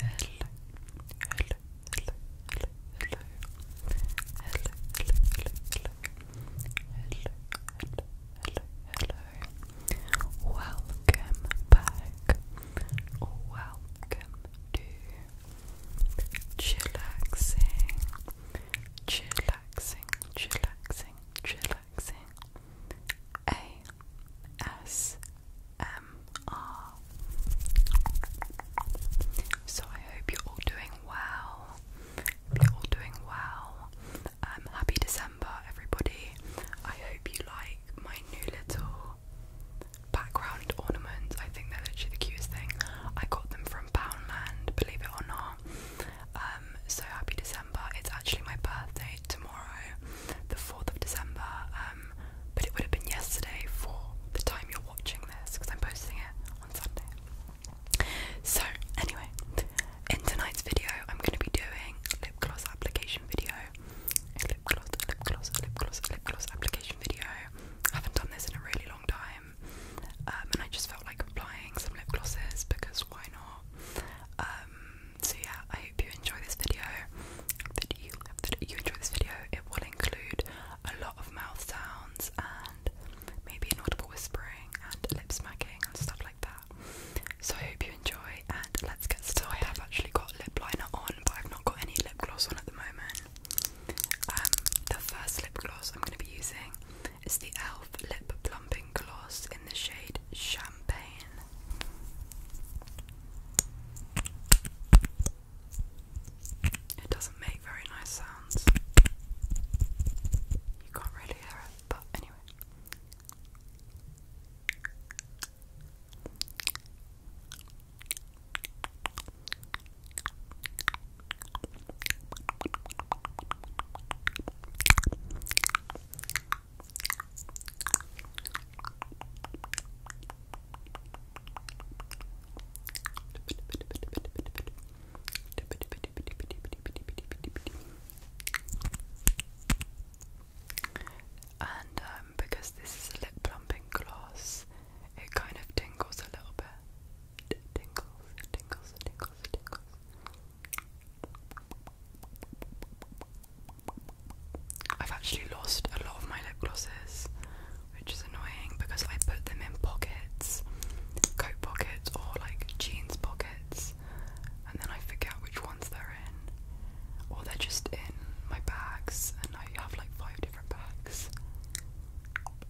hello. Welcome back. Welcome to chillaxing, chillaxing, chillaxing, chillaxing. ASMR. So I hope you're all doing well. you're all doing well. Um, happy December, everybody. I hope you like my new little background ornaments. I think they're literally the cutest thing. I got them from Poundland, believe it or not. Um, so happy December. It's actually my birthday tomorrow, the 4th of December. Um, but it would have been yesterday for the time you're watching this because I'm posting it on Sunday. So, anyway, in tonight's video, I'm going to be doing lip gloss application video. lip gloss, lip gloss, lip gloss, lip gloss application video. I haven't done this in a really long time. Um, and I just felt like applying some lip glosses because why not? Um, so yeah, I hope you enjoy this video. That you that you enjoy this video. It will include a lot of mouth sounds and maybe inaudible whispering and lip smacking and stuff like that. So I hope you enjoy and let's get started. I have actually got lip liner on, but I've not got any lip gloss on at the moment. Um, the first lip gloss I'm going to be using it's the e.l.f. Lip Plumping Gloss in the shade Champagne. It doesn't make very nice sounds. You can't really hear it, but anyway. And um, because this is a lip plumping gloss, it kind of tingles a little bit. I've actually lost a lot of my lip glosses, which is annoying because I put them in pockets, coat pockets, or like jeans pockets, and then I forget which ones they're in, or they're just in my bags, and I have like five different bags.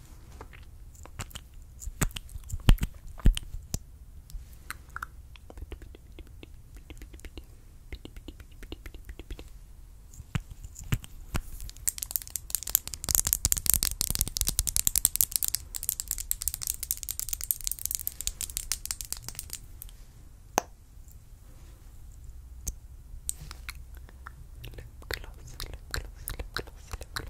Lip gloss, lip gloss, lip gloss, lip gloss.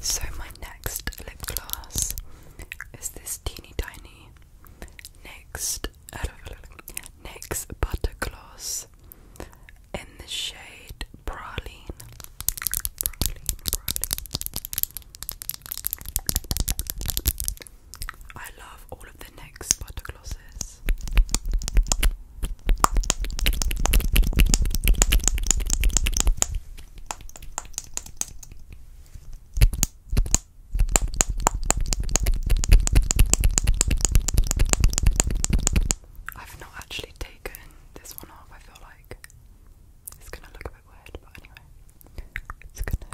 So, my next lip gloss is this teeny tiny NYX, NYX Butter Gloss in the shade Praline. I love all of the NYX Butter I've not actually taken this one off, I feel like it's gonna look a bit weird, but anyway. It's gonna look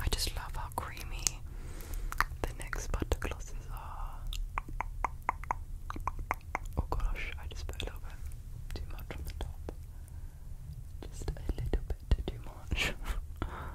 I just love how creamy the next butter glosses are. Oh gosh, I just put a little bit too much on the top. Just a little bit too much.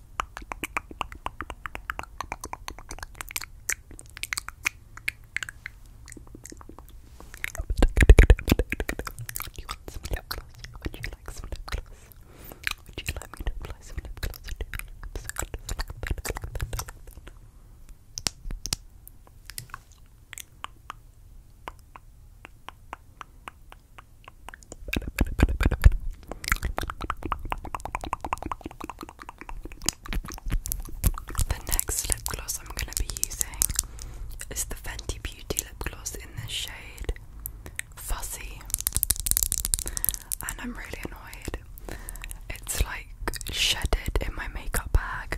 Do you want some lip gloss? Would you like some lip gloss? Would you like me to apply some lip gloss to your lips? The next lip gloss I'm going to be using is the Fenty Beauty lip gloss in the shade Fussy. And I'm really annoyed. It's like shedded in my makeup bag.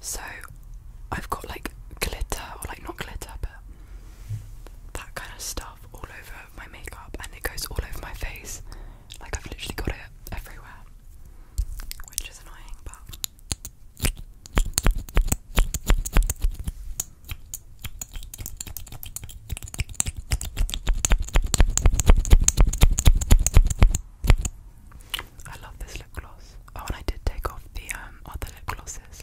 So I've got like glitter, or like not glitter, but that kind of stuff all over my makeup and it goes all over my face. Like I've literally got it everywhere. Which is annoying but I love this lip gloss. Oh, and I did take off the um, other lip glosses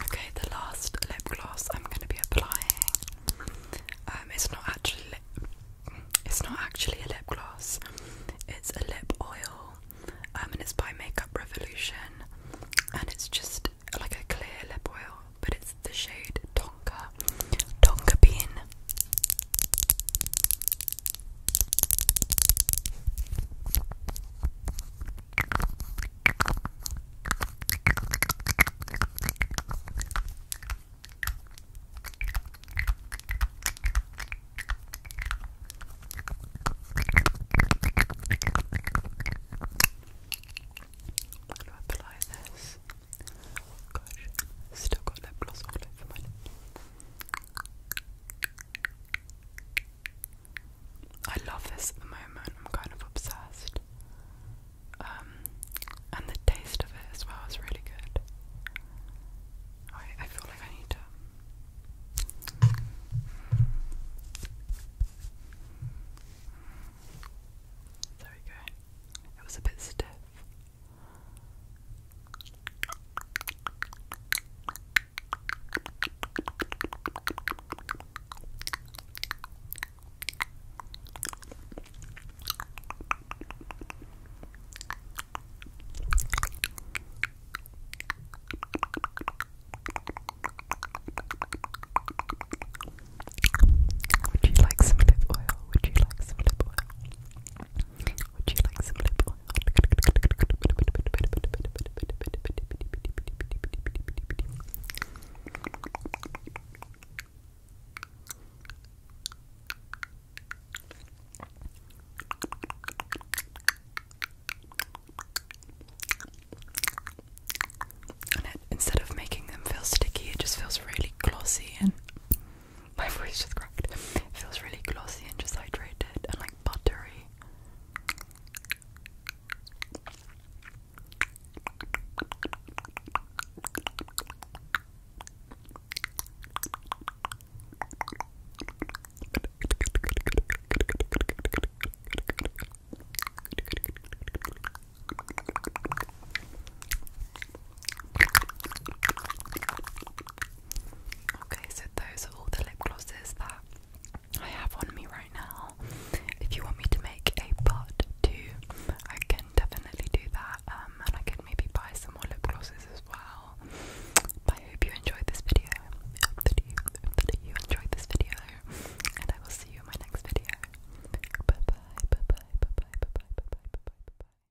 Okay, the last lip gloss I'm going to be applying. Um, it's not actually lip. It's not actually a lip gloss. It's a lip oil, um, and it's by Makeup Revolution, and it's just like a clear lip oil, but it's the shade Tonka, Tonka Bean. I'm going to apply this. Gosh, still got lip gloss all over my lips. I love this at the moment, I'm kind of obsessed. Um, and the taste of it as well is really good. I feel like I need to. There we go. It was a bit stiff. Would you like some lip oil? Would you like some lip oil? instead of making them feel sticky, it just feels really glossy and my voice just cracked. It feels really glossy and just hydrated and like buttery. Okay, so those are all the lip glosses that I have on me right now. If you want me to make a part two, I can definitely do that. Um, and I can maybe buy some more lip glosses as well. I hope you enjoyed this video. I hope that you, hope that you enjoyed this video. And I will see you in my next video. Bye bye, bye bye, bye bye, bye bye, bye bye, bye bye.